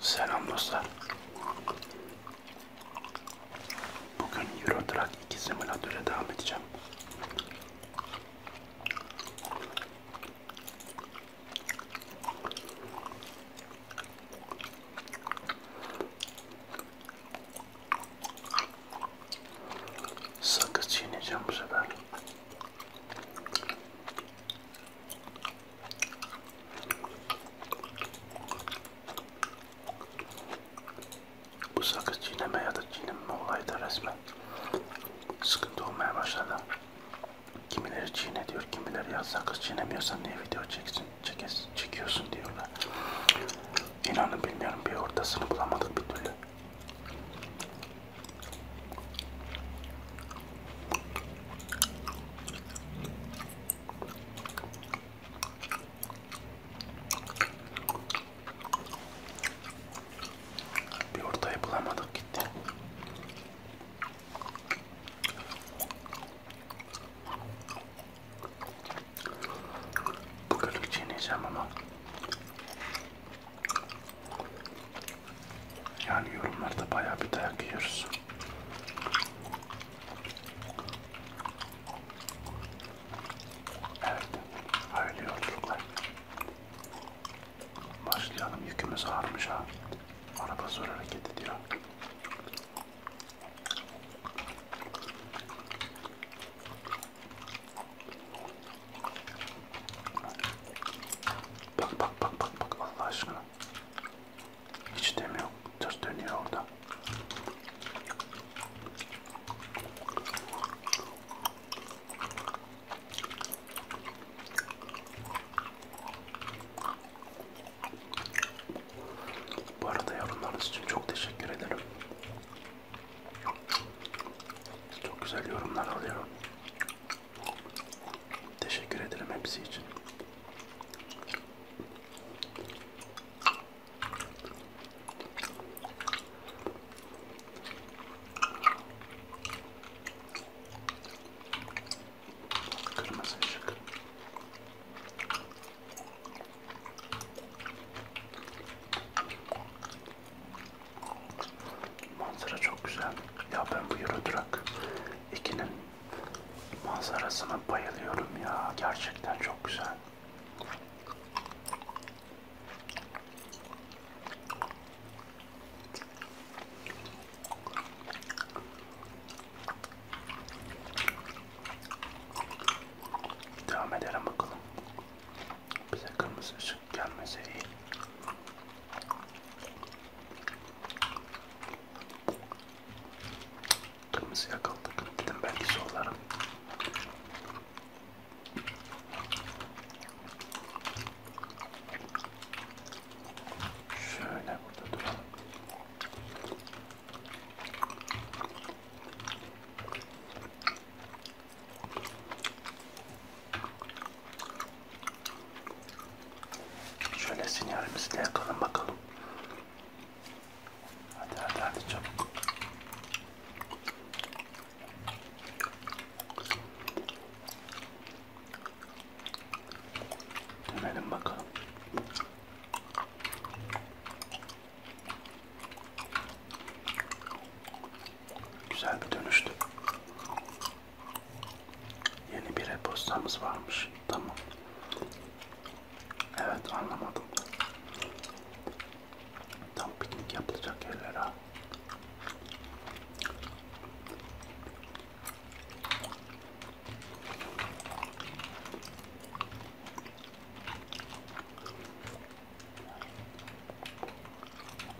Selam dostlar. Bugün Euro Truck 2 simülatöre devam edeceğim. Sakız çiğneyeceğim bu sefer. Bu sakız çiğneme ya da çiğneme olayı da resmen sıkıntı olmaya başladı. Kimileri çiğne diyor, kimileri ya sakız çiğnemiyorsan niye video çeksin, çekes, çekiyorsun diyorlar. İnanın bilmiyorum bir ortasını bulamadık bir türlü. Bir ortayı bulamadık gitti. Bugünlük çiğneyeceğim ama yani yorumlarda bayağı bir dayak yiyoruz. Evet, öyle yolculuklar. Başlayalım, yükümüz ağırmış ha. Araba zor hareket ediyor. Bak bak bak bak bak Allah aşkına. Hiç demiyor. Tır dönüyor orada. Bu arada yorumlarınız için çok teşekkür ederim. Çok güzel yorumlar alıyorum. Teşekkür ederim hepsi için. Kırmızı ışık. Manzara çok güzel. Ya ben bu Eurotrack 2'nin manzarasına bayılıyorum ya. Gerçekten çok güzel. Devam edelim bakalım. Bize kırmızı ışık Kışın gelmese iyi. Kırmızı yakaladık. Dedim belki sorularım. Şöyle burada duralım. Şöyle sinyalimizi de yakalım bakalım. Hadi hadi hadi çabuk. Dönelim bakalım. Güzel bir dönüştü. Yeni bir e-postamız varmış. Tamam. Evet anlamadım. Tam piknik yapılacak yerler ha.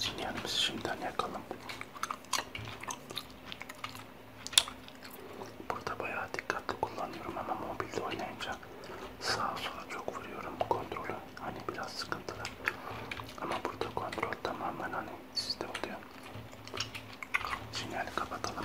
Sinyalimizi şimdiden yakalım. Burada bayağı dikkatli kullanıyorum ama mobilde oynayınca sağa sola çok vuruyorum kontrolü. Hani biraz sıkıntılı. Ama burada kontrol tamamen hani sizde oluyor. Sinyali kapatalım.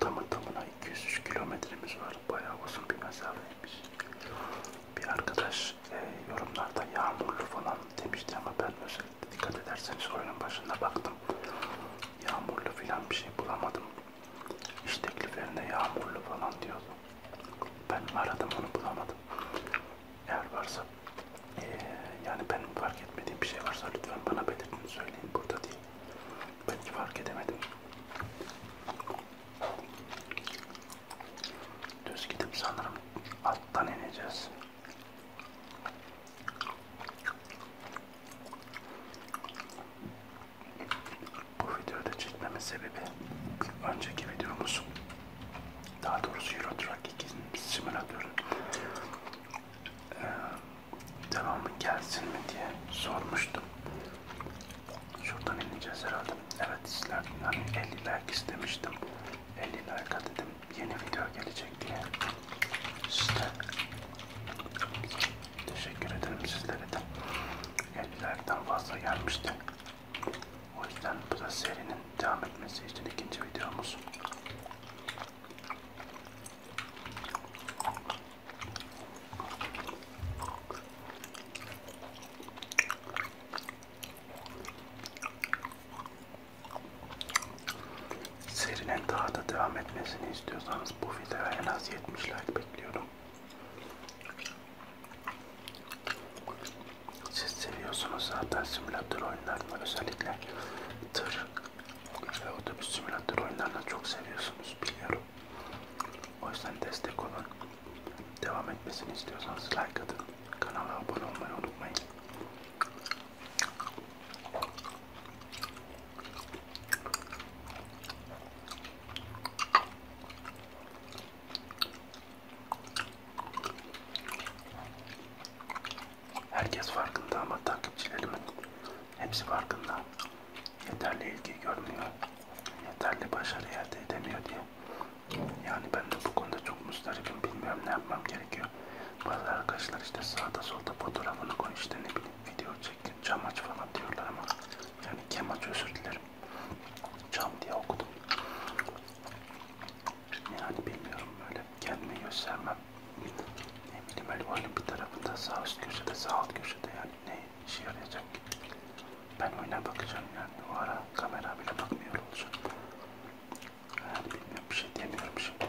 Tamı tamına 200 kilometremiz var. Bayağı uzun bir mesafeymiş. Bir arkadaş e, yorumlarda yağmurlu falan demişti ama ben özellikle dikkat ederseniz oyunun başında baktım. Yağmurlu falan bir şey bulamadım. İş tekliflerine yağmurlu falan diyordu. Ben aradım onu bulamadım eğer varsa e, yani benim fark etmediğim bir şey varsa lütfen bana belirtin söyleyin burada değil. Belki fark edemedim. Düz gidip sanırım alttan ineceğiz. Bu videoda çekmemin sebebi önceki videomuz daha doğrusu Euro Truck 2 simülatörü ee, devamı gelsin mi diye sormuştum. Şuradan ineceğiz herhalde. Evet sizler hani 50 like istemiştim. 50 like dedim yeni video gelecek diye. Size teşekkür ederim sizlere de. 50 like'dan fazla gelmişti. O yüzden bu da serinin devam etmesi için ikinci videomuz. Serinin daha da devam etmesini istiyorsanız bu videoya en az 70 like bekliyorum. Siz seviyorsunuz zaten simülatör oyunlarını özellikle tır ve otobüs simülatör oyunlarını çok seviyorsunuz biliyorum. O yüzden destek olun. Devam etmesini istiyorsanız like atın. Kanala abone olmayı unutmayın. Herkes farkında ama takipçilerimin hepsi farkında. Yeterli ilgi görmüyor, yeterli başarı elde edemiyor diye. Yani ben de bu konuda çok mustaribim, bilmiyorum ne yapmam gerekiyor. Bazı arkadaşlar işte sağda solda fotoğrafını koy işte ne bileyim video çekin, cam aç falan diyorlar ama yani kem aç özür dilerim olabilir. Cam diye okudum. Yani bilmiyorum böyle kendimi göstermem. Ne bileyim öyle oyunun bir tarafında sağ üst köşede sağ alt köşede yani ne işe yarayacak ki? Ben oyuna bakacağım yani o ara kamera bile bakmıyor olacak. Yani bilmiyorum bir şey demiyorum şimdi.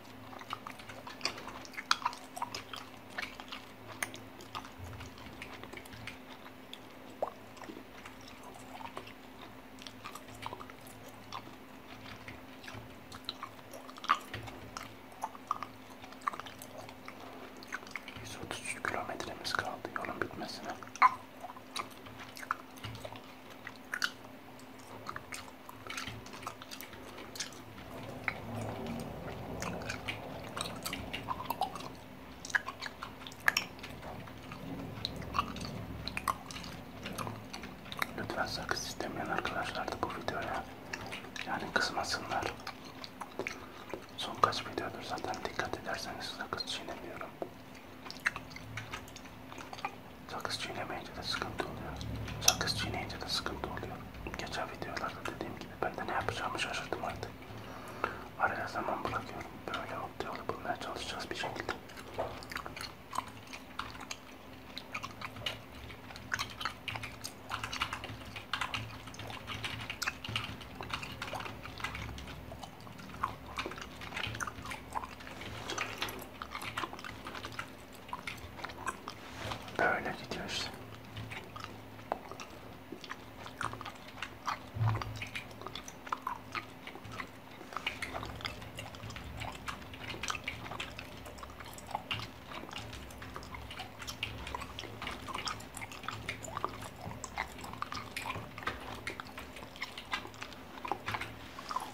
133 kilometremiz kaldı yolun bitmesine. Lütfen sakız istemeyen arkadaşlar da bu videoya yani kızmasınlar. Son kaç videodur zaten dikkat ederseniz sakız çiğnemiyorum. Sakız çiğnemeyince de sıkıntı oluyor. Sakız çiğneyince de sıkıntı oluyor. Geçen videolarda dediğim gibi ben de ne yapacağımı şaşırdım artık. Araya zaman bırakıyorum. Böyle mutlu yolu bulmaya çalışacağız bir şekilde. Böyle gidiyor işte.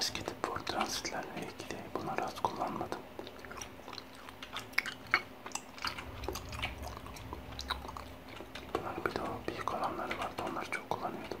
Eski tip Ford Transit'lerle ilgili bunları az kullanmadım. Bunların bir de o büyük olanları vardı. Onları çok kullanıyordum.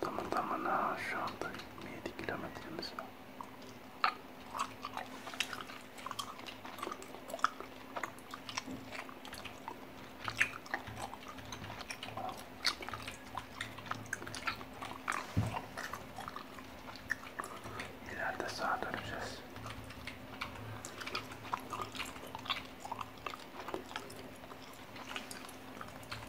Tamam tamam şu anda 27 kilometremiz var. İleride sağa döneceğiz.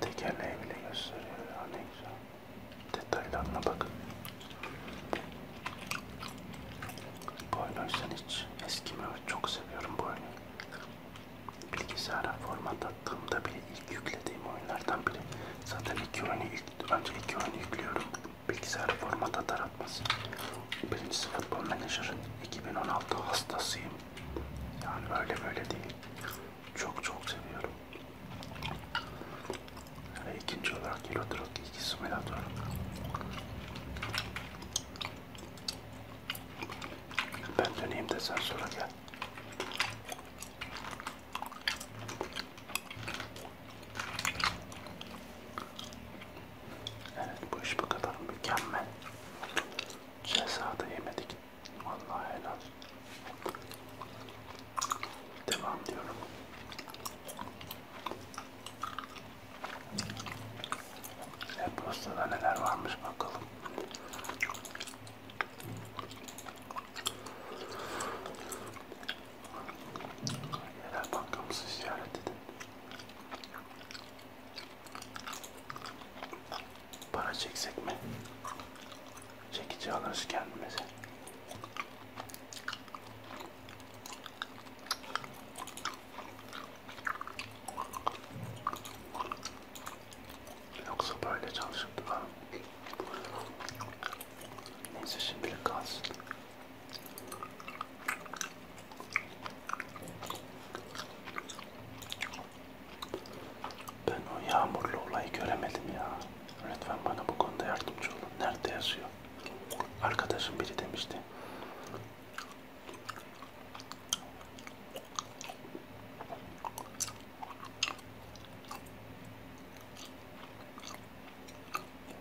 Tekerleği bile gösteriyor ya ne güzel. Detaylarına bakın. Bu oyunu hiç eskimiyor. Çok seviyorum bu oyunu. Bilgisayara format attığımda bile ilk yüklediğim oyunlardan biri. Zaten iki oyunu ilk, önce iki oyunu yüklüyorum bilgisayar formatı taratması. Birincisi futbol menajer. 2016 hastasıyım. Yani öyle böyle değil. Çok çok seviyorum. Ve ikinci olarak Euro Truck 2 Simulator. Ben döneyim de sen sonra gel. Evet bu iş bu kadar mükemmel. Cezada yemedik. Vallahi helal. Devam diyorum. E postada neler varmış bakalım. Yerel bankamızı ziyaret edin. Para çeksek mi? Çekici alırız kendimize. Yoksa böyle çalışıp da neyse şimdilik kalsın. Ben o yağmurlu olayı göremedim ya. Lütfen bana bu konuda yardımcı olun. Nerede yazıyor? Arkadaşım biri demişti.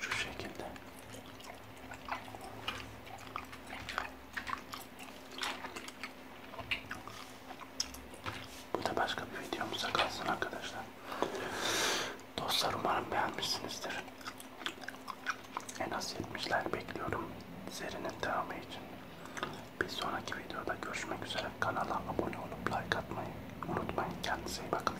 Şu şekilde. Bu da başka bir videomuza kalsın arkadaşlar. Dostlar umarım beğenmişsinizdir. En az 70'ler bekliyorum serinin devamı için. Bir sonraki videoda görüşmek üzere. Kanala abone olup like atmayı unutmayın. Kendinize iyi bakın.